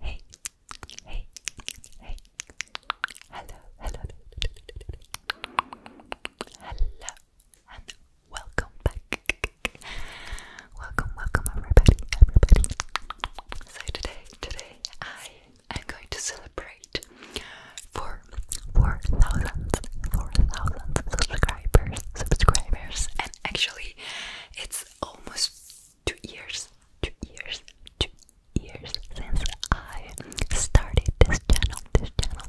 Hey, hey, hey. Hello, hello, hello, and welcome back. Welcome, welcome, everybody, everybody. So today, today I I'm going to celebrate for 4,000 subscribers, subscribers, and actually, it's almost two years, two years, two years since I started this channel, this channel.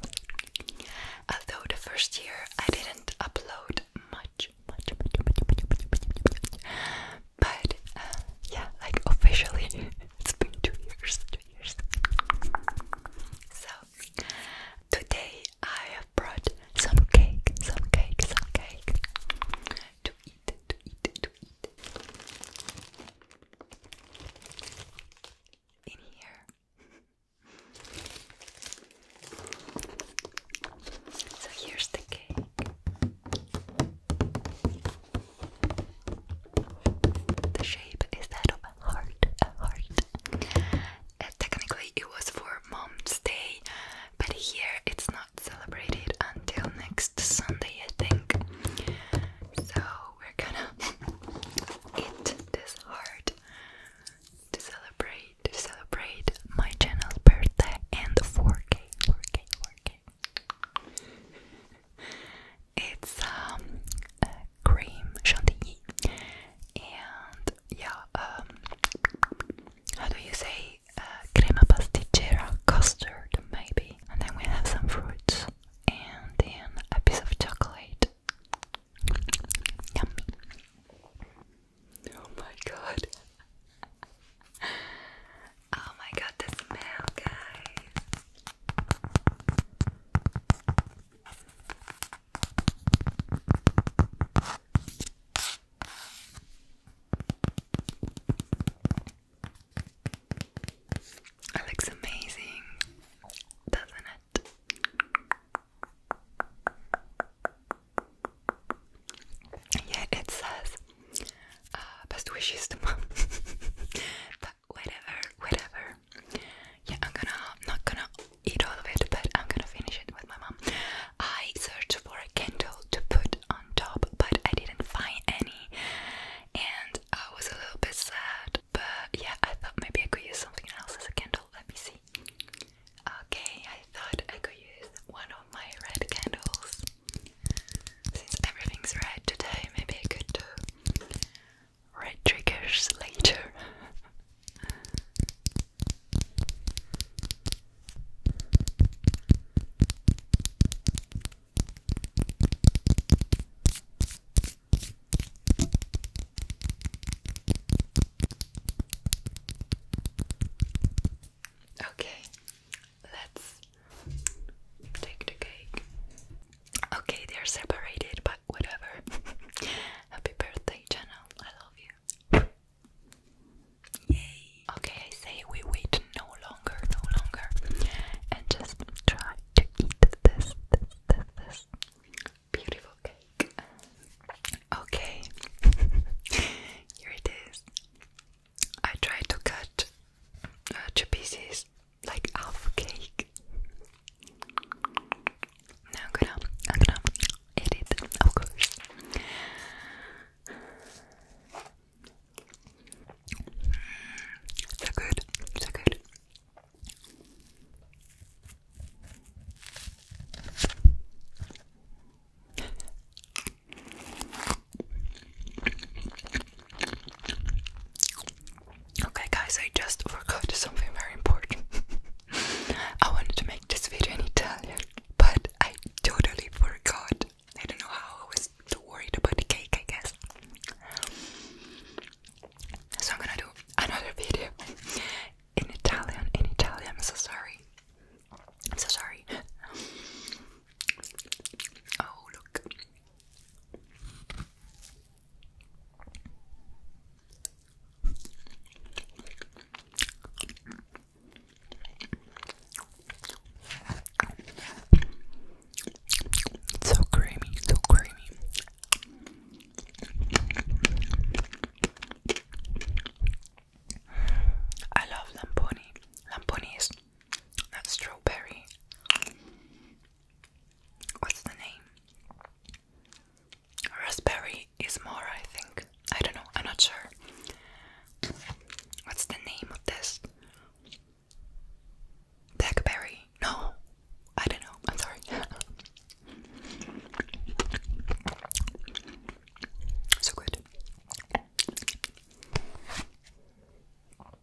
Although the first year I didn't upload much, but yeah, like officially, it's been two years. So today I have brought some cake, some cake, some cake to eat, to eat, to eat. In here. So here's the cake. The shape is that of a heart. A heart. Uh, technically, it was for Mom's Day, but here it's not celebrated until next Sunday, I think. So we're gonna eat this heart to celebrate to celebrate my channel's birthday and 4K it's um, a cream chantilly, and yeah, um, how do you say uh, crema pasticcera custard maybe? And then we have some fruits, and then a piece of chocolate. Yummy! Oh my god! Oh my god, the smell, guys. It looks amazing, doesn't it? Yeah, it says uh, best wishes to mom. whatever, whatever. Yeah, I'm gonna not gonna eat all of it, but I'm gonna finish it with my mom. I searched for a candle to put on top, but I didn't find any, and I was a little bit sad. But yeah, I thought maybe I could use something else as a candle. Let me see. Okay, I thought I could use one of my red candles. Since everything's red today, maybe I could do red triggers later. Okay, let's take the cake. Okay, they're separated, but whatever. Happy birthday, channel. I love you. Yay! Okay, I say we wait no longer, no longer, and just try to eat this, this, this, beautiful cake. Okay, here it is. I try to cut uh, two pieces like half cake. Now I'm gonna, i of course. So good, so good. Okay, guys, I just forgot something very important. I wanted to make this video in Italian, but I totally forgot. I don't know how I was too worried about the cake, I guess. So I'm gonna do another video in Italian. In Italian, I'm so sorry. I'm so sorry. Oh, look so creamy, so creamy. I love lamponi. Lamponi is that strawberry. What's the name? Raspberry is more, I think. I don't know, I'm not sure. What's the name of this? Blackberry? No, I don't know, I'm sorry. so good.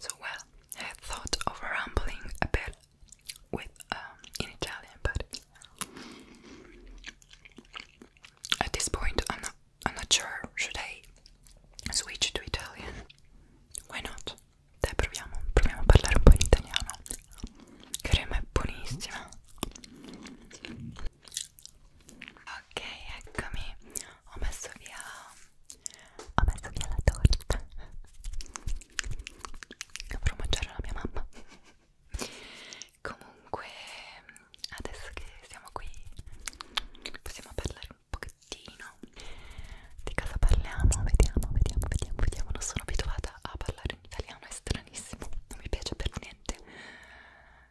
So, well, I thought of rambling a bit with um, in Italian, but at this point, I'm not. sure. Should I switch to Italian? Why not? Dai, proviamo. Proviamo a parlare un po' in italiano. Crema è buonissima. ok eccomi ho messo via ho messo via la torta dovrò mangiare la mia mamma comunque adesso che siamo qui possiamo parlare un pochettino di cosa parliamo vediamo vediamo vediamo vediamo non sono abituata a parlare in italiano è stranissimo non mi piace per niente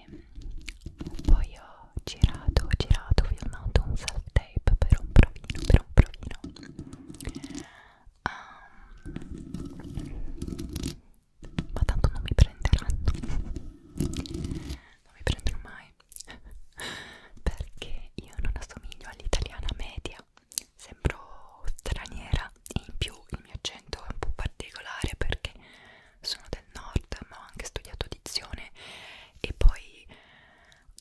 e poi ho girato, girato, filmato un self tape per un provino, per un provino um, ehm, ma tanto non mi prenderanno non mi prendono mai perché io non assomiglio all'italiana media sembro straniera e in più il mio accento è un po' particolare perché sono del nord ma ho anche studiato dizione e poi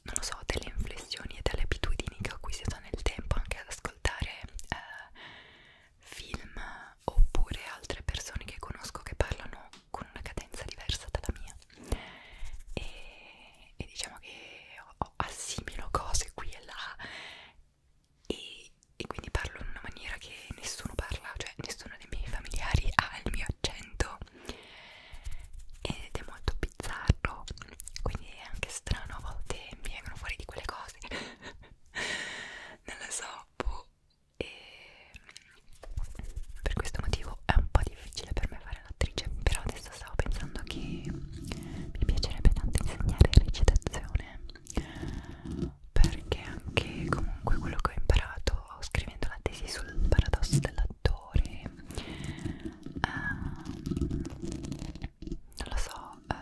non lo so delle inflessioni e delle abitudini che ho acquisito nel tempo anche ad ascoltare eh, film oppure altre persone che conosco che parlano con una cadenza diversa dalla mia e, e diciamo che ho, assimilo cose qui e là e, e quindi parlo in una maniera che nessuno parla, cioè nessuno dei miei familiari ha il mio l'accento ed è molto bizzarro quindi è anche strano a volte mi vengono fuori di quelle cose non lo so boh. e per questo motivo è un po' difficile per me fare l'attrice però adesso stavo pensando che mi piacerebbe tanto insegnare recitazione no perché anche comunque quello che ho imparato scrivendo la tesi sul paradosso dell'attore ehm, non lo so eh,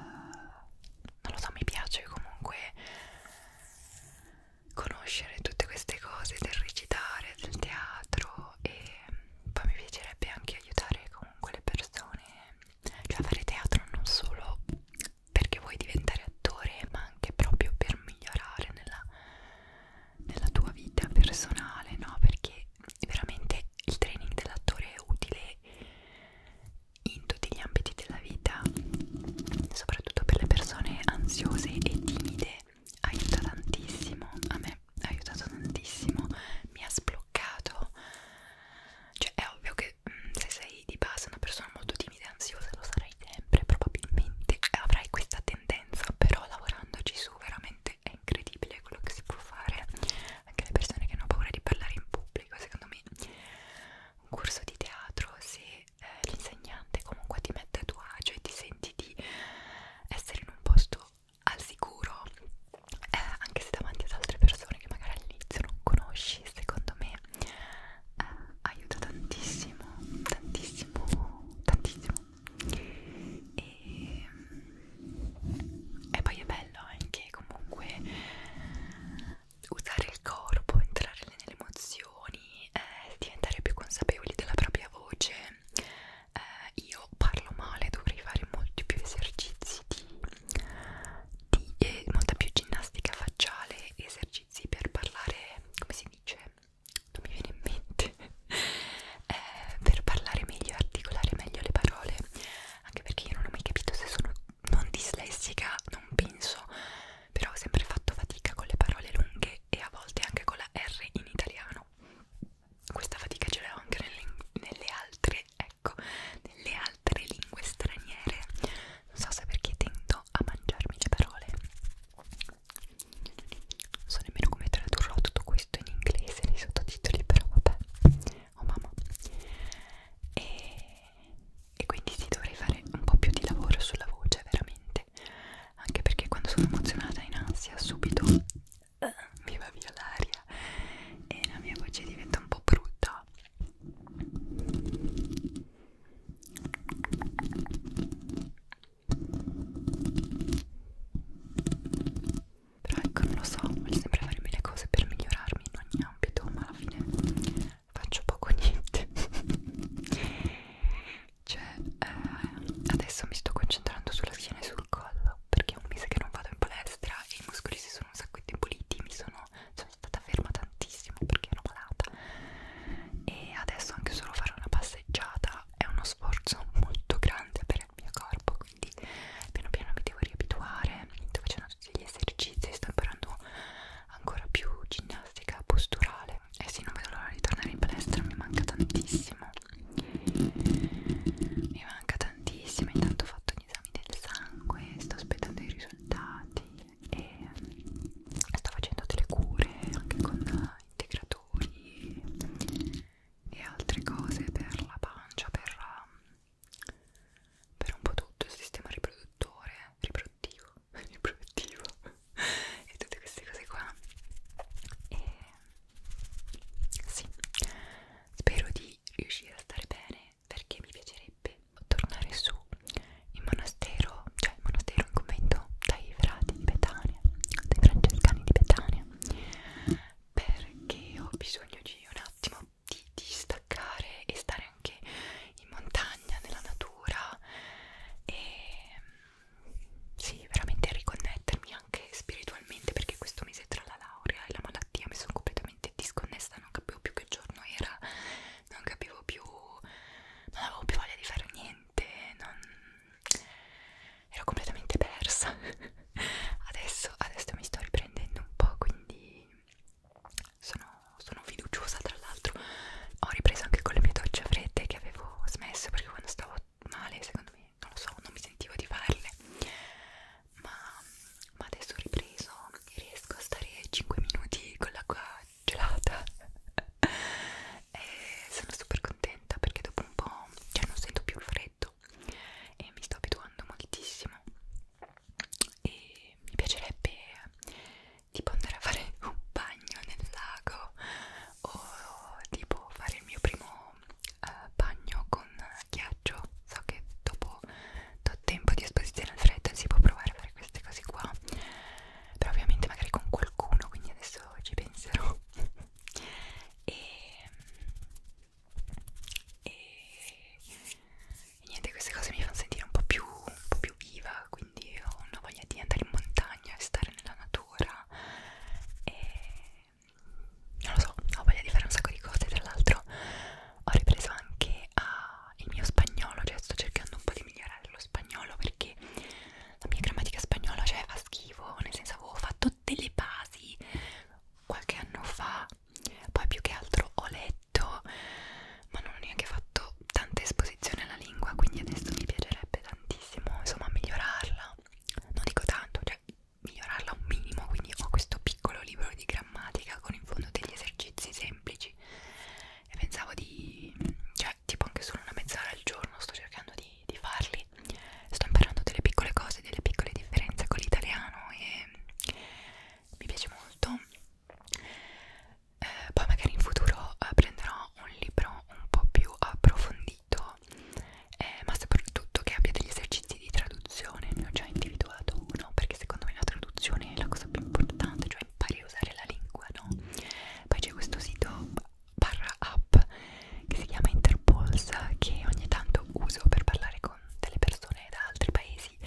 non lo so mi piace comunque conoscere tutte queste cose del recitare del teatro e poi mi piacerebbe anche aiutare comunque le persone cioè fare teatro non solo perché vuoi diventare attore ma anche proprio per migliorare nella, nella tua vita personale no perché veramente il training dell'attore è utile in tutti gli ambiti della vita soprattutto per le persone ansiose e timide aiuta tantissimo a me ha aiutato tantissimo mi ha sbloccato cioè è ovvio che mm, se sei sei di base una persona molto timida e ansiosa, lo sarai sempre probabilmente, avrai questa tendenza, però lavorandoci su veramente è incredibile quello che si può fare. Anche le persone che hanno paura di parlare in pubblico, secondo me un corso di teatro, se eh, l'insegnante comunque ti mette a tuo agio e ti senti di essere in un posto al sicuro, eh, anche se davanti ad altre persone che magari all'inizio non conosci, secondo me eh, aiuta tantissimo tantissimo tantissimo e, e poi è bello anche comunque usare il corpo entrare nelle emozioni eh, diventare più consapevoli della propria voce eh, io parlo male dovrei fare molti più esercizi di, di eh, molta più ginnastica facciale esercizi esercizi per parlare, come si dice, non mi viene in mente, eh, per parlare meglio e articolare meglio le parole, anche perché io non ho mai capito se sono non dislessica, non penso, però ho sempre fatto fatica con le parole lunghe e a volte anche con la R in italiano. Questa fatica ce l'ho anche nelle, nelle altre, ecco, nelle altre lingue straniere. Non so se perché tendo a mangiarmi le parole non so nemmeno come tradurrò tutto questo in inglese nei sottotitoli però vabbè oh mamma e, e quindi sì dovrei fare un po' più di lavoro sulla voce veramente anche perché quando sono emozionata in ansia subito eh, mi va via l'aria e la mia voce diventa un po' brutta però ecco, non lo so, voglio sempre fare mille cose per migliorarmi in ogni ambito, ma alla fine faccio poco niente. cioè, eh, adesso mi sto concentrando sulla schiena e sul collo, perché è un mese che non vado in palestra e i muscoli si sono un sacco indeboliti, mi sono cioè, sono stata ferma tantissimo perché ero malata e adesso anche solo fare una passeggiata è uno sforzo molto grande per il mio corpo quindi piano piano mi devo riabituare sto facendo tutti gli esercizi sto imparando ancora più ginnastica posturale e eh sì non vedo l'ora di tornare in palestra mi manca tantissimo mi manca tantissimo intanto ho fatto gli esami del sangue sto aspettando i risultati e ehm, sto facendo delle cure anche con integratori e altre cose per la pancia, per, ehm, per un po' tutto il sistema riproduttore, riproduttivo, riproduttivo e tutte queste cose qua e sì, spero di riuscire a stare bene perché mi piacerebbe tornare su in monastero, cioè in monastero in convento dai frati di Betania, dai francescani di Betania, perché ho bisogno di un attimo di distaccare e stare anche in montagna, nella natura e mm, sì, veramente riconnettermi anche spiritualmente perché questo mese tra la laurea e la malattia mi sono completamente disconnessa, non capivo più che giorno era non capivo più, non avevo più voglia di fare niente, non... ero completamente persa. adesso, adesso mi sto riprendendo un po', quindi sono, sono fiduciosa. Tra l'altro, ho ripreso anche con le mie docce fredde che avevo smesso perché quando stavo male, secondo me, non lo so, non mi sentivo di farle. Ma, ma adesso ho ripreso e riesco a stare 5 minuti con l'acqua gelata e sono super contenta perché dopo un po' cioè non sento più il freddo e mi sto abituando moltissimo e mi piacerebbe tipo andare a fare un bagno nel lago o tipo fare il mio primo uh, bagno con ghiaccio so che dopo do tempo di esposizione al freddo si può provare a fare queste cose qua però ovviamente magari con qualcuno quindi adesso ci penserò e, e, e niente queste cose mi fanno sentire un po' più un po' più viva quindi ho una voglia di andare in montagna e stare nella natura e non lo so ho voglia di fare un sacco di cose tra l'altro ho ripreso anche a, il mio spagnolo cioè sto cercando un po' di migliorare lo spagnolo perché la mia grammatica spagnola cioè fa schifo, nel senso avevo fatto delle basi qualche anno fa, poi più che altro ho letto, ma non ho neanche fatto tanta esposizione alla lingua, quindi adesso mi piacerebbe tantissimo insomma migliorarla, non dico tanto, cioè migliorarla un minimo, quindi ho questo piccolo libro di grammatica con in fondo degli esercizi semplici e pensavo di cioè tipo anche solo una mezz'ora al giorno sto cercando di, di farli sto imparando delle piccole cose delle piccole differenze con l'italiano e mi piace molto eh, poi magari in futuro eh, prenderò un libro un po' più approfondito eh, ma soprattutto che abbia degli esercizi di traduzione ne ho già individuato uno perché secondo me la traduzione è la cosa più importante cioè impari a usare la lingua, no? Poi c'è questo sito barra app che si chiama Interpulse che ogni tanto uso per parlare con delle persone da altri paesi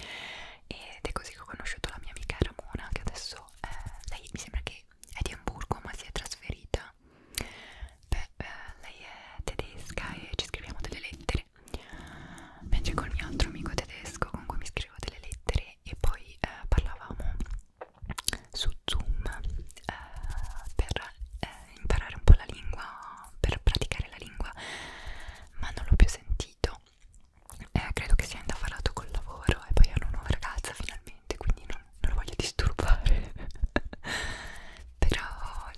ed è così che ho conosciuto la mia amica Ramona che adesso eh, lei mi sembra che è di Hamburgo ma si è trasferita beh eh, lei è tedesca e ci scriviamo delle lettere mentre col mio altro amico tedesco con cui mi scrivo delle lettere e poi eh, parlavamo su Zoom eh, per eh, imparare un po' la lingua, per praticare la lingua, ma non l'ho più sentito. Eh, credo che sia indafarato col lavoro e poi hanno una nuova ragazza finalmente, quindi non, non lo voglio disturbare. Però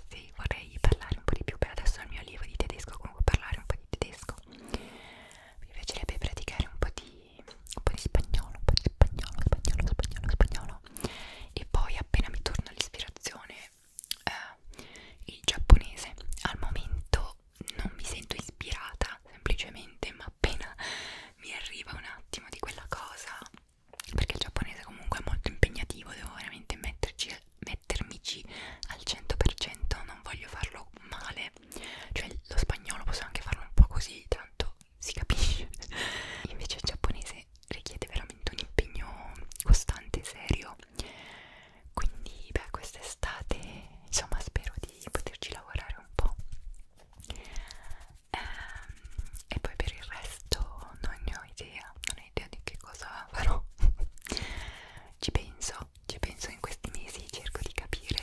sì, vorrei parlare un po' di più. Per adesso il mio allievo di tedesco, comunque parlare un po' di tedesco mi piacerebbe praticare un po' di, un po' di spagnolo, un po' di spagnolo, spagnolo, spagnolo, spagnolo e poi appena mi torna l'ispirazione eh, il giapponese. Al momento non mi sento ispirata semplicemente, ma appena mi arriva un attimo di quella cosa, perché il giapponese comunque è molto impegnativo, devo veramente metterci, mettermici al 100%, non voglio farlo male perché cioè lo spagnolo posso anche farlo un po' così, tanto si capisce. Invece il giapponese richiede veramente un impegno costante, serio. Quindi, beh, quest'estate, insomma, spero di poterci lavorare un po'. Ehm, e poi per il resto non ne ho idea, non ho idea di che cosa farò. Ci penso, ci penso in questi mesi, cerco di capire,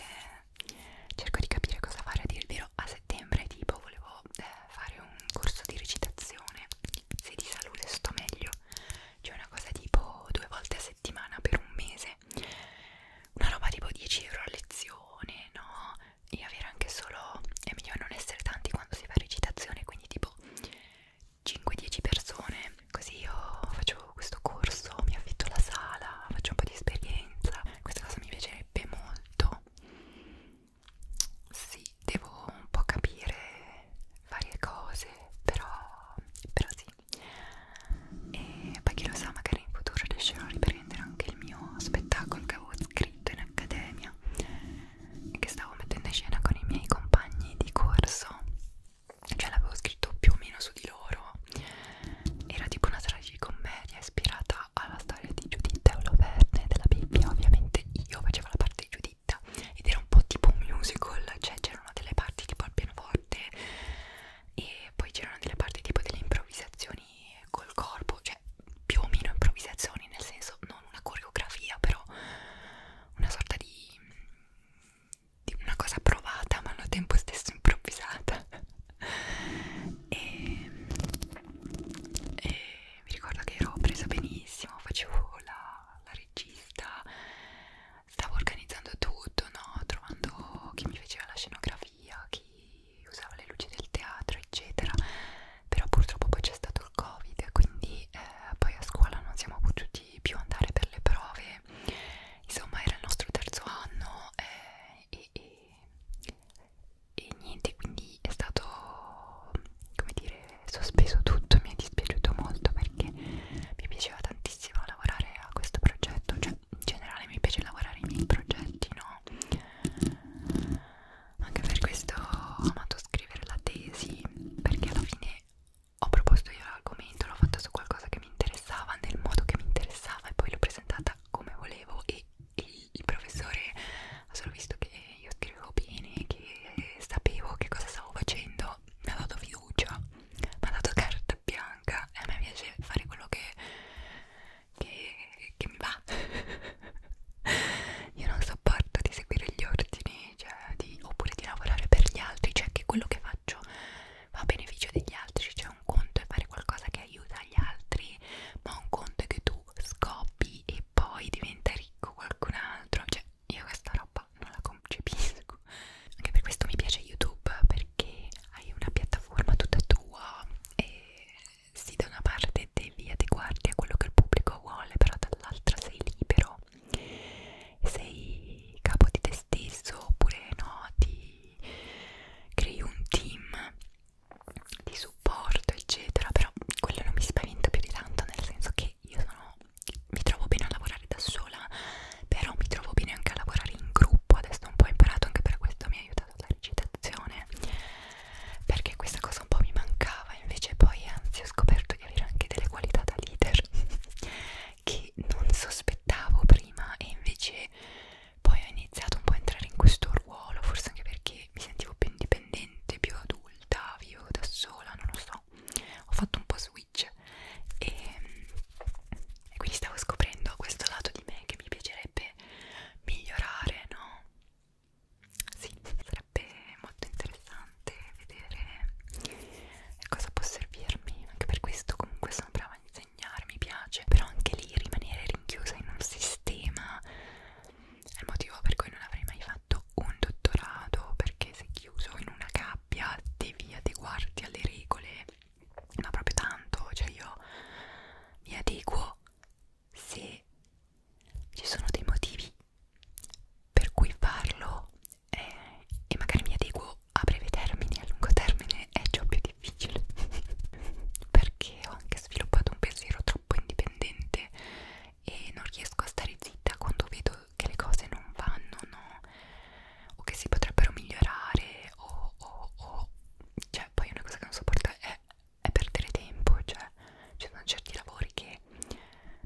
cerco di capire cosa fare, a dire il vero, a settembre tipo volevo eh, fare un corso di recitazione, se di salute sto meglio, c'è cioè una cosa tipo due volte a settimana per un mese, una roba tipo 10 euro a lezione, no? E avere anche solo, è meglio non essere tanti quando si fa recitazione, quindi tipo 5-10 persone Così io faccio questo corso, mi affitto la sala, faccio un po' di esperienza. Questa cosa mi piacerebbe molto. Sì, devo un po' capire varie cose, però, però sì. E poi chi lo sa, magari in futuro riuscirò a riprendere anche il mio spettacolo che avevo scritto in accademia e che stavo mettendo in scena con i miei compagni di corso cioè l'avevo scritto più o meno su di loro era tipo una tragicommedia ispirata alla storia di Giuditta e Oloverne della Bibbia ovviamente io facevo la parte di Giuditta ed era un po' tipo un musical cioè c'erano delle parti tipo al pianoforte e poi c'erano delle parti tipo delle improvvisazioni col corpo cioè più o meno improvvisazioni nel senso non una coreografia però una sorta di di una cosa provata ma al tempo stesso improvvisata e, e mi ricordo che ero presa benissimo facevo la, la regista stavo organizzando tutto no? trovando chi mi faceva la scenografia chi usava le luci del teatro eccetera però purtroppo poi c'è stato il covid quindi eh, poi a scuola non siamo potuti più andare per le prove perché insomma era il nostro terzo anno eh, e, e, e niente quindi è stato come dire sospeso tutto mi è dispiaciuto molto perché mi piaceva tantissimo lavorare a questo progetto cioè in generale mi piace lavorare ai miei progetti no anche per questo ho amato scrivere la tesi perché alla fine ho proposto io l'argomento, l'ho fatta su qualcosa che mi interessava, nel modo che mi interessava e poi l'ho presentata come volevo e, e il professore ha solo visto che io scrivevo bene, che sapevo che cosa stavo facendo, mi ha dato fiducia, mi ha dato carta bianca e a me piace fare quello che, che, che mi va. io non sopporto di seguire gli ordini, cioè di, oppure di lavorare per gli altri, cioè che quello che faccio va a beneficio degli altri, cioè un conto è fare qualcosa che aiuta gli altri, ma un conto è che tu scoppi e poi diventa ricco qualcun altro, cioè io questa roba non la concepisco. Anche per questo mi piace YouTube perché hai una piattaforma tutta tua e sì da una parte devi adeguarti a quello che il pubblico vuole, però dall'altra sei libero no, sei capo di te stesso oppure no, ti crei un team di supporto eccetera, però quello non mi spaventa più di tanto nel senso che io sono, mi trovo bene a lavorare da sola, però mi trovo bene anche a lavorare in gruppo, adesso un po' ho imparato anche per questo, mi ha aiutato la recitazione perché questa cosa un po' mi mancava invece poi anzi ho scoperto di avere anche delle qualità da leader che non sospettavo prima e invece poi ho iniziato un po' a entrare in questo ruolo, forse anche perché mi sentivo più indipendente, più adulta, vivo da sola, non lo so, ho fatto un po' switch e, e quindi stavo scoprendo questo lato di me che mi piacerebbe migliorare, no? Sì, sarebbe molto interessante vedere cosa può servirmi anche per questo comunque sono brava a insegnare mi piace però anche lì rimanere rinchiusa in un sistema è il motivo per cui non avrei mai fatto un dottorato perché sei chiuso in una gabbia devi adeguarti alle regole ma proprio tanto cioè io mi adeguo se ci sono dei motivi per cui farlo eh, e magari mi adeguo a breve termine, a lungo termine è già più difficile perché ho anche sviluppato un pensiero troppo indipendente e non riesco a stare zitta quando vedo che le cose non vanno no? o che si potrebbero migliorare o, o, o cioè poi una cosa che non sopporto è, è perdere tempo cioè ci sono certi lavori che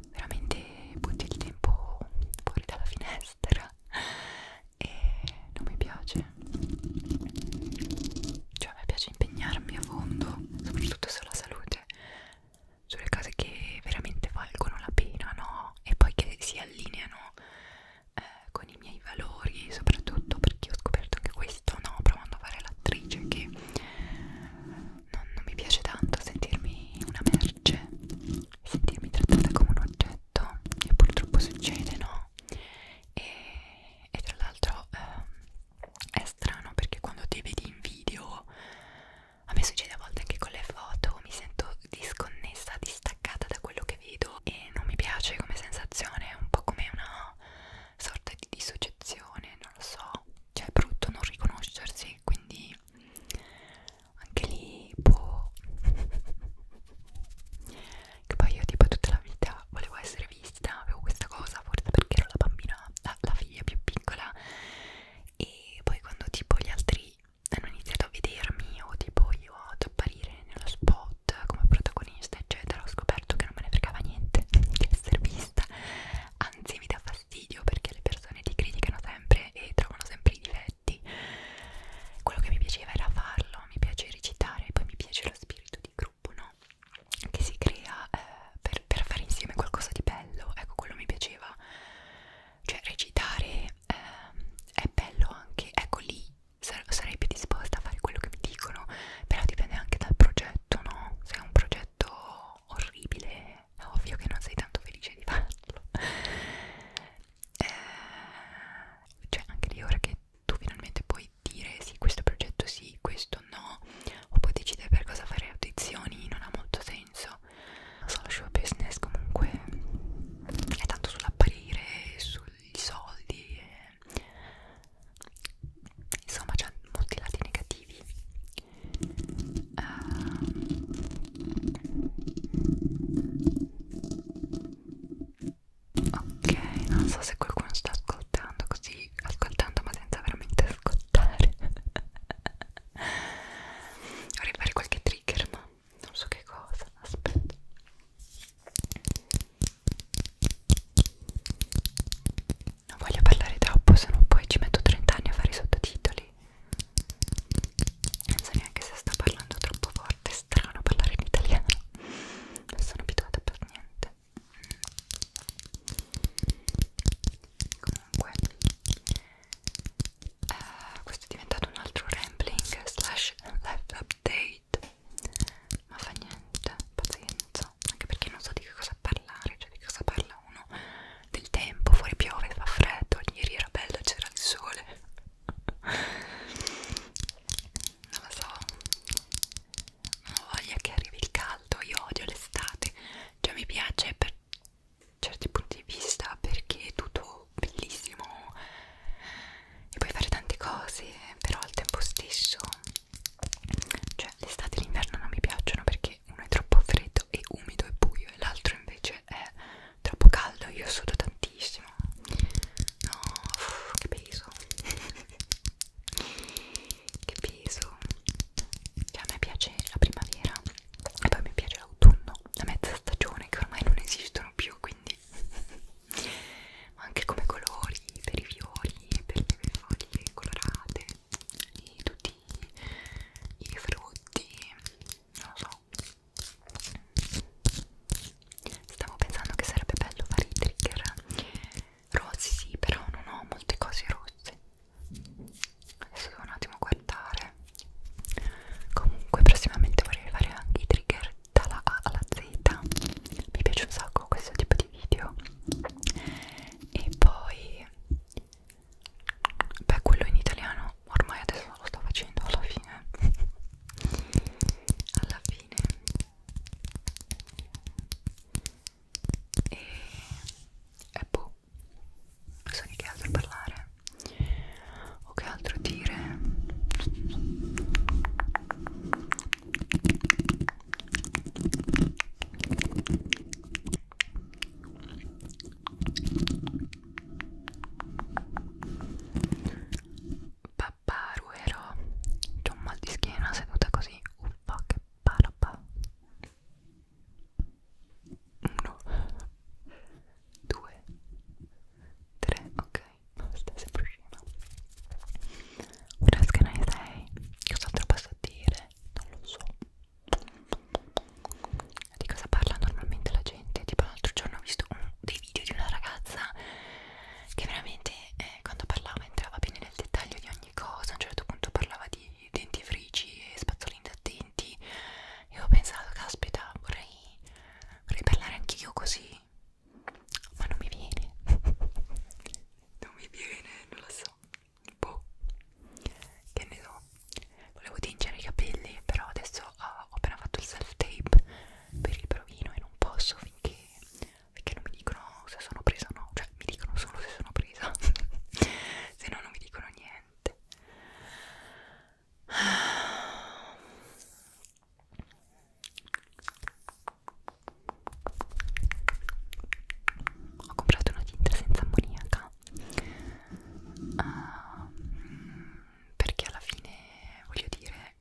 veramente butti il tempo fuori dalla finestra e non mi piace cioè a me piace impegnarmi a fondo soprattutto sulla salute sulle cose che veramente valgono la pena no? e poi che si allineano eh, con i miei valori soprattutto perché ho scoperto anche questo no? provando a fare l'attrice che non, non mi piace tanto sentirmi una merce sentirmi trattata come un oggetto e purtroppo succede no e, e tra l'altro eh, è strano perché quando te vedi in video a me succede a volte anche con le foto mi sento disconnessa distaccata da quello che vedo e non mi piace come sensazione è un po' come una sorta di dissociazione non lo so cioè è brutto non riconoscersi quindi anche lì boh che poi io tipo tutta la vita volevo essere vista avevo questa cosa forse perché ero la bambina la, la figlia più piccola e poi quando tipo gli altri hanno iniziato a vedermi o tipo io ad apparire nello spot come protagonista eccetera ho scoperto che non me ne fregava niente di essere vista anzi mi dà fastidio perché le persone ti criticano sempre e trovano sempre i difetti dialetti quello che mi piaceva era farlo mi piace recitare poi mi piace lo spirito di gruppo no? che si crea eh, per, per fare insieme qualcosa di bello ecco quello mi piaceva cioè recitare eh, è bello anche ecco lì sar sarei più disposta a fare quello che mi dicono però dipende anche dal progetto no? se è un progetto orribile è ovvio che non sei tanto felice di farlo eh, cioè anche lì ora che tu finalmente puoi dire sì questo progetto sì questo no o puoi decidere per cosa fare audizioni non ha molto senso non so lo show business comunque è tanto sull'apparire sui soldi eh. insomma c'ha molti lati negativi uh, Ok, non so se qualcuno sta ascoltando così, ascoltando ma senza veramente ascoltare. Vorrei fare qualche trigger, ma non so che cosa. Aspetta. Non voglio parlare troppo, se no poi ci metto 30 anni a fare i sottotitoli non so neanche se sto parlando troppo forte, è strano parlare in italiano non sono abituata per niente comunque eh, questo è diventato un altro rambling slash live update ma fa niente, pazienza anche perché non so di che cosa parlare, cioè di cosa parla uno del tempo, fuori piove, fa freddo, ieri era bello, c'era il sole non lo so non ho voglia che arrivi il caldo, io odio l'estate cioè mi piace per certi punti di vista perché è tutto bellissimo e puoi fare tante cose però al tempo stesso cioè l'estate e l'inverno non mi piacciono perché uno è troppo freddo freddo e umido e buio e l'altro invece è troppo caldo io sudo tantissimo no uff, che peso che peso cioè, a me piace la primavera e poi mi piace l'autunno la mezza stagione che ormai non esistono più quindi ma anche come colori per i fiori per le foglie colorate e tutti i frutti non lo so Stavo pensando che sarebbe bello fare i trigger rossi, sì, però non ho molte cose rosse. Adesso devo un attimo guardare. Comunque, prossimamente vorrei fare anche i trigger dalla A alla Z. Mi piace un sacco questo tipo di video. E poi beh quello in italiano ormai adesso lo sto facendo alla fine alla fine e, e boh non so di che altro parlare o che altro dire Papparuero C'ho un mal di schiena seduta così Uffa che parpa Uno Due Tre Ok Basta sempre scema Ora che ne sei Cos'altro posso dire? Non lo so di cosa parla normalmente la gente? Tipo l'altro giorno ho visto un, dei video di una ragazza che veramente eh, quando parlava entrava bene nel dettaglio di ogni cosa. A un certo punto parlava di dentifrici e spazzolini attenti e ho pensato, caspita, vorrei, vorrei parlare anch'io così. Ma non mi viene, non mi viene, non lo so. Boh, che ne so volevo tingere i capelli però adesso ho, ah, ho appena fatto il self tape per il provino e non posso finché, finché non mi dicono se sono presa o no cioè mi dicono solo se sono presa se no non mi dicono niente ho comprato una tinta senza ammoniaca no ehm, uh, perché alla fine voglio dire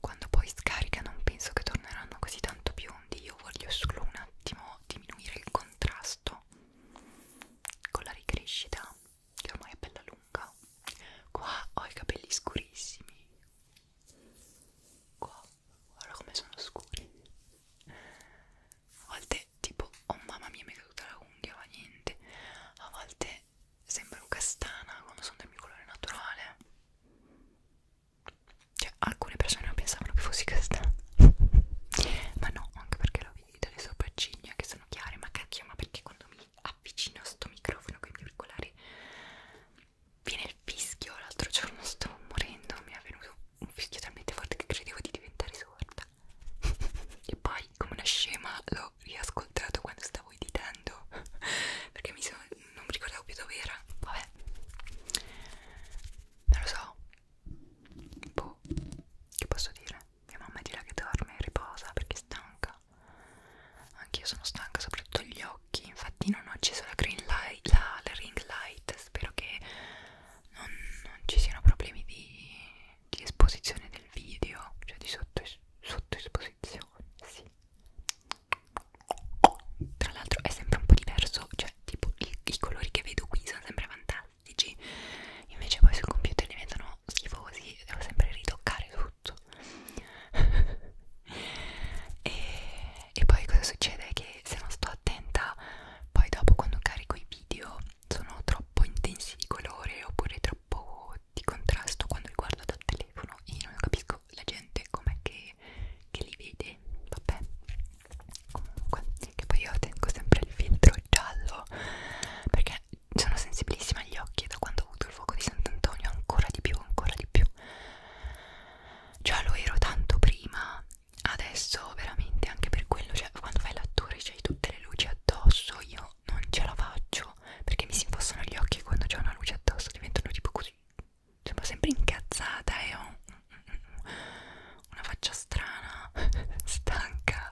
quando poi scarica non penso che torneranno così tanto biondi io voglio solo un attimo diminuire il contrasto con la ricrescita che ormai è bella lunga qua ho i capelli scurissimi qua guarda come sono scuri a volte tipo oh mamma mia mi è caduta la unghia va niente a volte sembra un castana quando sono del mio colore naturale cioè alcune persone pensavano che fossi castana ma no anche perché l'ho vedete le sopracciglia che sono chiare ma cacchio ma perché quando mi avvicino a sto microfono con i miei auricolari viene il fischio l'altro giorno sto morendo mi è venuto un fischio talmente forte che credevo di diventare sorda e poi come una scema l'ho riascoltato quando stavo editando perché mi sono, non mi ricordavo più dove era vabbè non lo so boh che posso dire mia mamma dirà che dorme e riposa perché è stanca anche io sono stanca soprattutto gli occhi infatti non ho acceso la green light la, la ring light spero che non, non ci siano problemi di, di esposizione del video, cioè di sottoesposizione. Sotto sì. Tra l'altro è sempre un po' diverso, cioè tipo i, i colori che vedo qui sono sempre fantastici, invece poi sul computer diventano schifosi e devo sempre ritoccare tutto. e, e poi cosa succede? Che se non sto attenta, poi dopo quando carico i video sono troppo intensi di colore oppure troppo di contrasto quando li guardo dal telefono e non capisco la gente com'è che, che li vede vabbè comunque che poi io tengo sempre il filtro giallo perché sono sensibilissima agli occhi e da quando ho avuto il fuoco di Sant'Antonio ancora di più ancora di più già lo ero tanto prima adesso veramente anche per quello cioè quando fai l'attore c'hai tutte le luci addosso io non ce la faccio perché mi si infossano gli occhi quando c'è una luce addosso diventano tipo così sembra sempre incazzata e ho una faccia strana stanca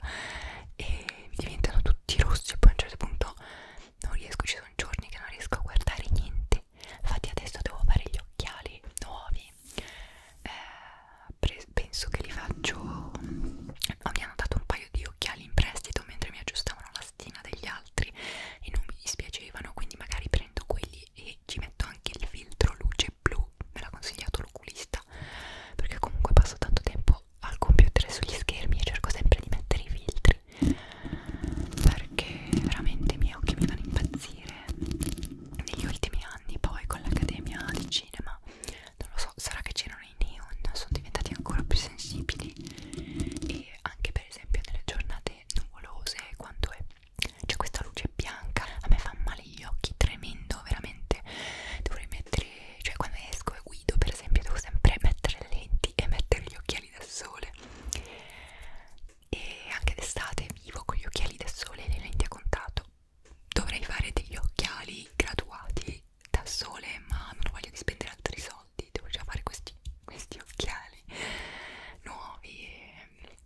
e diventano tutti rossi e poi a un certo punto non riesco ci sono giorni che non riesco a guardare niente infatti adesso devo fare gli occhiali nuovi eh, penso che li faccio oh, mi hanno dato un paio di occhiali in prestito mentre mi aggiustavano la stina degli altri e non mi dispiacevano quindi magari prendo quelli e ci metto anche il filtro luce blu me l'ha consigliato l'oculista perché comunque passo tanto tempo al computer e sugli schermi e cerco sempre di mettere i filtri perché veramente i miei occhi mi fanno impazzire negli ultimi anni poi con l'Accademia di Cinema non lo so, sarà che c'erano i neon, sono diventati ancora più sensibili e anche per esempio nelle giornate nuvolose quando è c'è questa luce bianca a me fanno male gli occhi tremendo veramente dovrei mettere cioè quando esco e guido per esempio devo sempre mettere le lenti e mettere gli occhiali da sole e anche d'estate vivo con gli occhiali da sole e le lenti a contatto dovrei fare degli occhiali graduati da sole ma non ho voglia di spendere altri soldi devo già fare questi, questi occhiali nuovi e...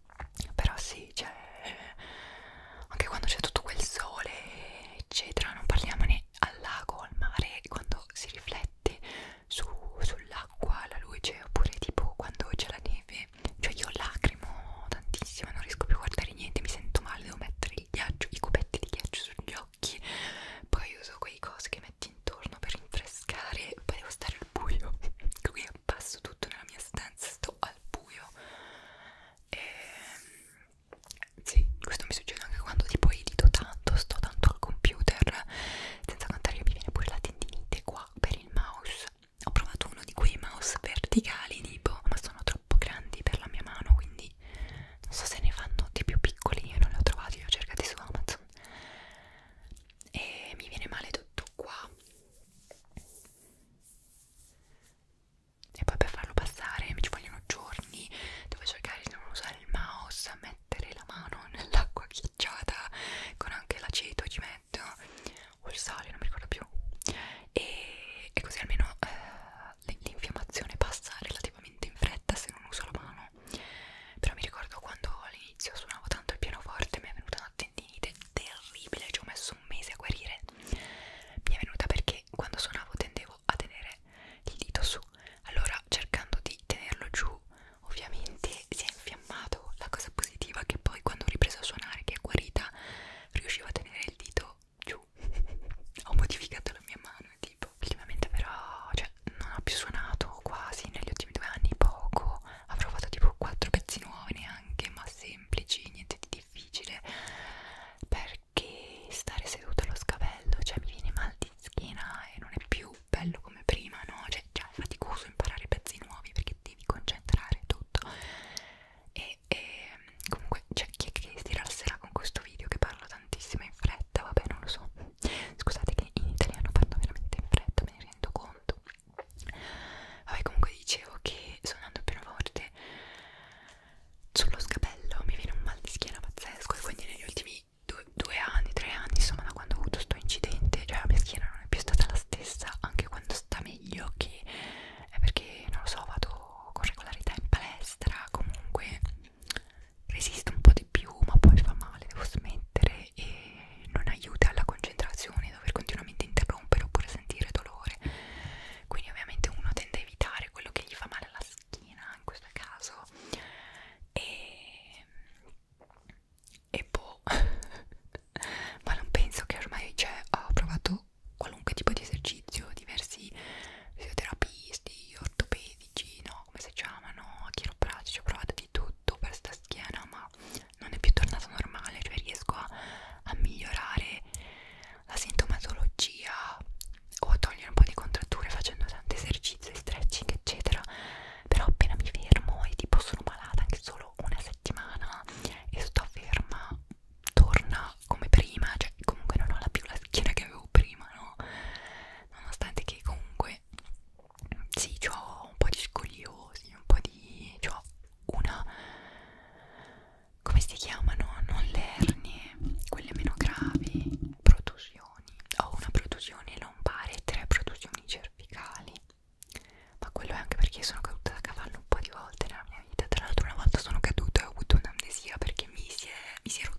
però sì cioè anche quando c'è tutto quel sole eccetera non parliamone al lago al mare quando si riflette su, sull'acqua la luce oppure tipo quando c'è la neve che cioè io lacrimo tantissimo non riesco più a guardare niente mi sento male devo mettere il ghiaccio i cubetti di ghiaccio sugli occhi poi uso quei cosi che metti intorno per rinfrescare poi devo stare al buio qui passo tutto nella mia stanza sto al buio e ehm, sì questo mi succede anche quando tipo edito tanto sto tanto al computer senza contare che mi viene pure la tendinite qua per il mouse ho provato uno di quei mouse verticali tipo ma sono troppo grandi per la mia mano quindi non so se ne fanno di più piccoli io non li ho trovati li ho cercati su Amazon e mi viene male tutto qua e poi per farlo passare mi ci vogliono giorni devo cercare di non usare il mouse mettere la mano nell'acqua ghiacciata con anche l'aceto ci metto Red o il sale, non mi ricordo più e, e così almeno eh, l'infiammazione passa relativamente in fretta se non uso la mano però mi ricordo quando all'inizio suonavo tanto il pianoforte mi è venuta una tendinite terribile ci ho messo un mese a guarire mi è venuta perché quando suonavo tendevo a tenere il dito su allora cercando di tenerlo giù ovviamente si è infiammato la cosa positiva è che poi quando ho ripreso a suonare che è guarita riuscivo a tenere il dito giù ho modificato la mia mano tipo ultimamente però cioè non ha più suonato quasi negli ultimi due anni poco avrò fatto tipo quattro pezzi nuovi neanche ma semplici niente di difficile perché stare seduto allo scavello cioè mi viene mal di schiena e non è più bello come prima no cioè già è faticoso imparare pezzi nuovi perché devi concentrare tutto e, e comunque c'è chi, chi si rilasserà con questo video che parlo tantissimo in fretta, vabbè non lo so scusate che in italiano parlo veramente in fretta, me ne rendo conto vabbè comunque dicevo che suonando più forte sullo scapello mi viene un mal di schiena pazzesco e quindi negli ultimi due, due anni, tre anni insomma da quando ho avuto sto incidente cioè la mia schiena non è più stata la stessa anche quando sta meglio che è perché non lo so vado con regolarità in palestra comunque resisto un po' di più ma poi fa male devo smettere e non aiuta alla concentrazione dover continuamente interrompere oppure sentire dolore quindi ovviamente uno tende a evitare quello che gli fa male alla schiena in questo caso e e boh ma non penso che ormai cioè, ho provato qualunque tipo di esercizio, diversi fisioterapisti, ortopedici, no, come si chiamano, chiropratici, ho provato di tutto per sta schiena, ma non è più tornato normale, cioè riesco a, a migliorare la sintomatologia o a togliere un po' di contratture facendo tanti esercizi, stretching, eccetera. Però appena mi fermo e tipo sono malata anche solo lavoro una settimana e sto ferma torna come prima cioè comunque non ho la più la schiena che avevo prima no nonostante che comunque sì ho un po' di scogliosi un po' di ho una come si chiamano non le ernie quelle meno gravi protusioni ho una protusione lombare e tre protusioni cervicali ma quello è anche perché sono caduta da cavallo un po' di volte nella mia vita tra l'altro una volta sono caduta e ho avuto un'amnesia perché mi si è, mi si è rotto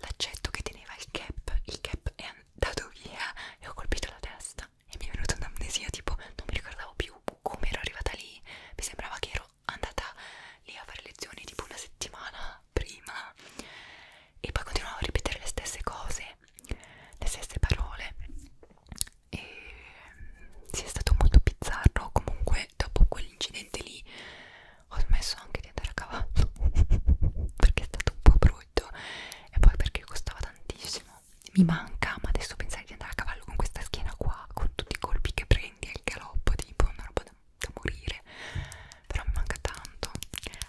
l'accetto che teneva il cap il cap è andato via e ho colpito la testa e mi è venuta un'amnesia tipo non mi ricordavo più come ero arrivata lì mi sembrava che ero andata lì a fare lezioni tipo una settimana prima e poi continuavo a ripetere le stesse cose le stesse parole e mm, si è stato molto bizzarro comunque dopo quell'incidente lì ho smesso anche di andare a cavallo perché è stato un po' brutto e poi perché costava tantissimo mi manca ma adesso pensare di andare a cavallo con questa schiena qua con tutti i colpi che prendi al galoppo tipo una roba da, da morire però mi manca tanto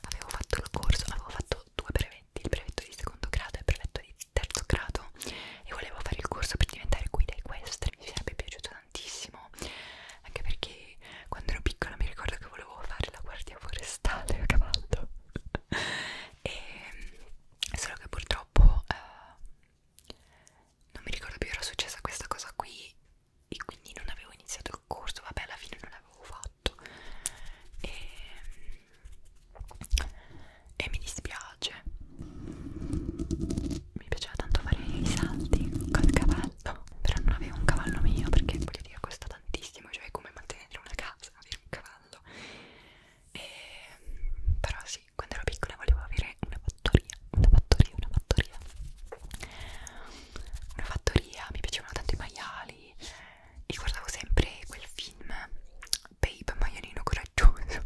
avevo fatto il corso avevo fatto due brevetti il brevetto di secondo grado e il brevetto di terzo grado e volevo fare il corso per diventare guida equestre mi sarebbe piaciuto tantissimo anche perché quando ero piccola mi ricordo che volevo fare la guardia forestale a cavallo e solo che purtroppo eh, non mi ricordo più era successa questa cosa qui e quindi non avevo iniziato il corso vabbè alla fine non l'avevo fatto prodotto e, e mi dispiace mi piaceva tanto fare i salti col cavallo però non avevo un cavallo mio perché voglio dire costa tantissimo cioè è come mantenere una casa avere un cavallo e, però sì quando ero piccola volevo avere una fattoria una fattoria una fattoria una fattoria mi piacevano tanto i maiali io guardavo sempre quel film Babe Maialino Coraggioso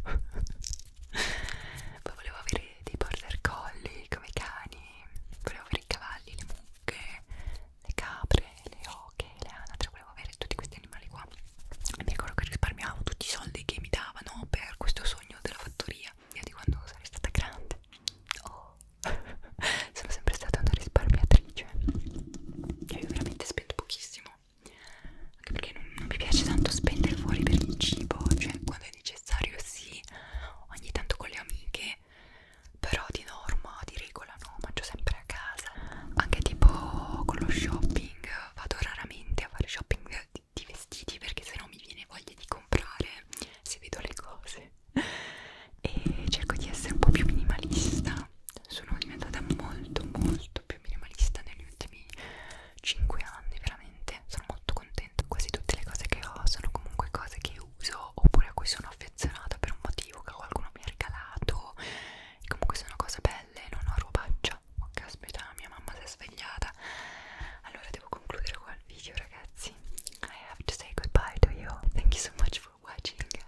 poi volevo avere dei border collie come cani volevo avere i cavalli, le mucche le capre, le oche, le anatre volevo avere tutti questi animali qua e mi ricordo che risparmiavo tutti i soldi che mi davano per questo sogno della fattoria io di quando sarei stata grande oh. sono sempre stata una risparmiatrice felice che io veramente spendo pochissimo anche perché non, non mi piace tanto spendere fuori per il cibo cioè quando è necessario sì ogni tanto con le amiche però di norma di regola no mangio sempre a casa anche tipo con lo shopping vado raramente a fare shopping di, di vestiti perché sennò mi viene voglia di comprare se vedo le cose e cerco di essere un po' più minimalista sono diventata molto molto più minimalista negli ultimi 5 anni veramente sono molto contenta quasi tutte le cose che ho sono comunque cose che uso oppure a cui sono affezionata per un motivo che qualcuno mi ha regalato e comunque sono cose belle non ho robaccia oh caspita mia mamma si è svegliata allora devo concludere qua il video ragazzi I have to say goodbye to you thank you so much for watching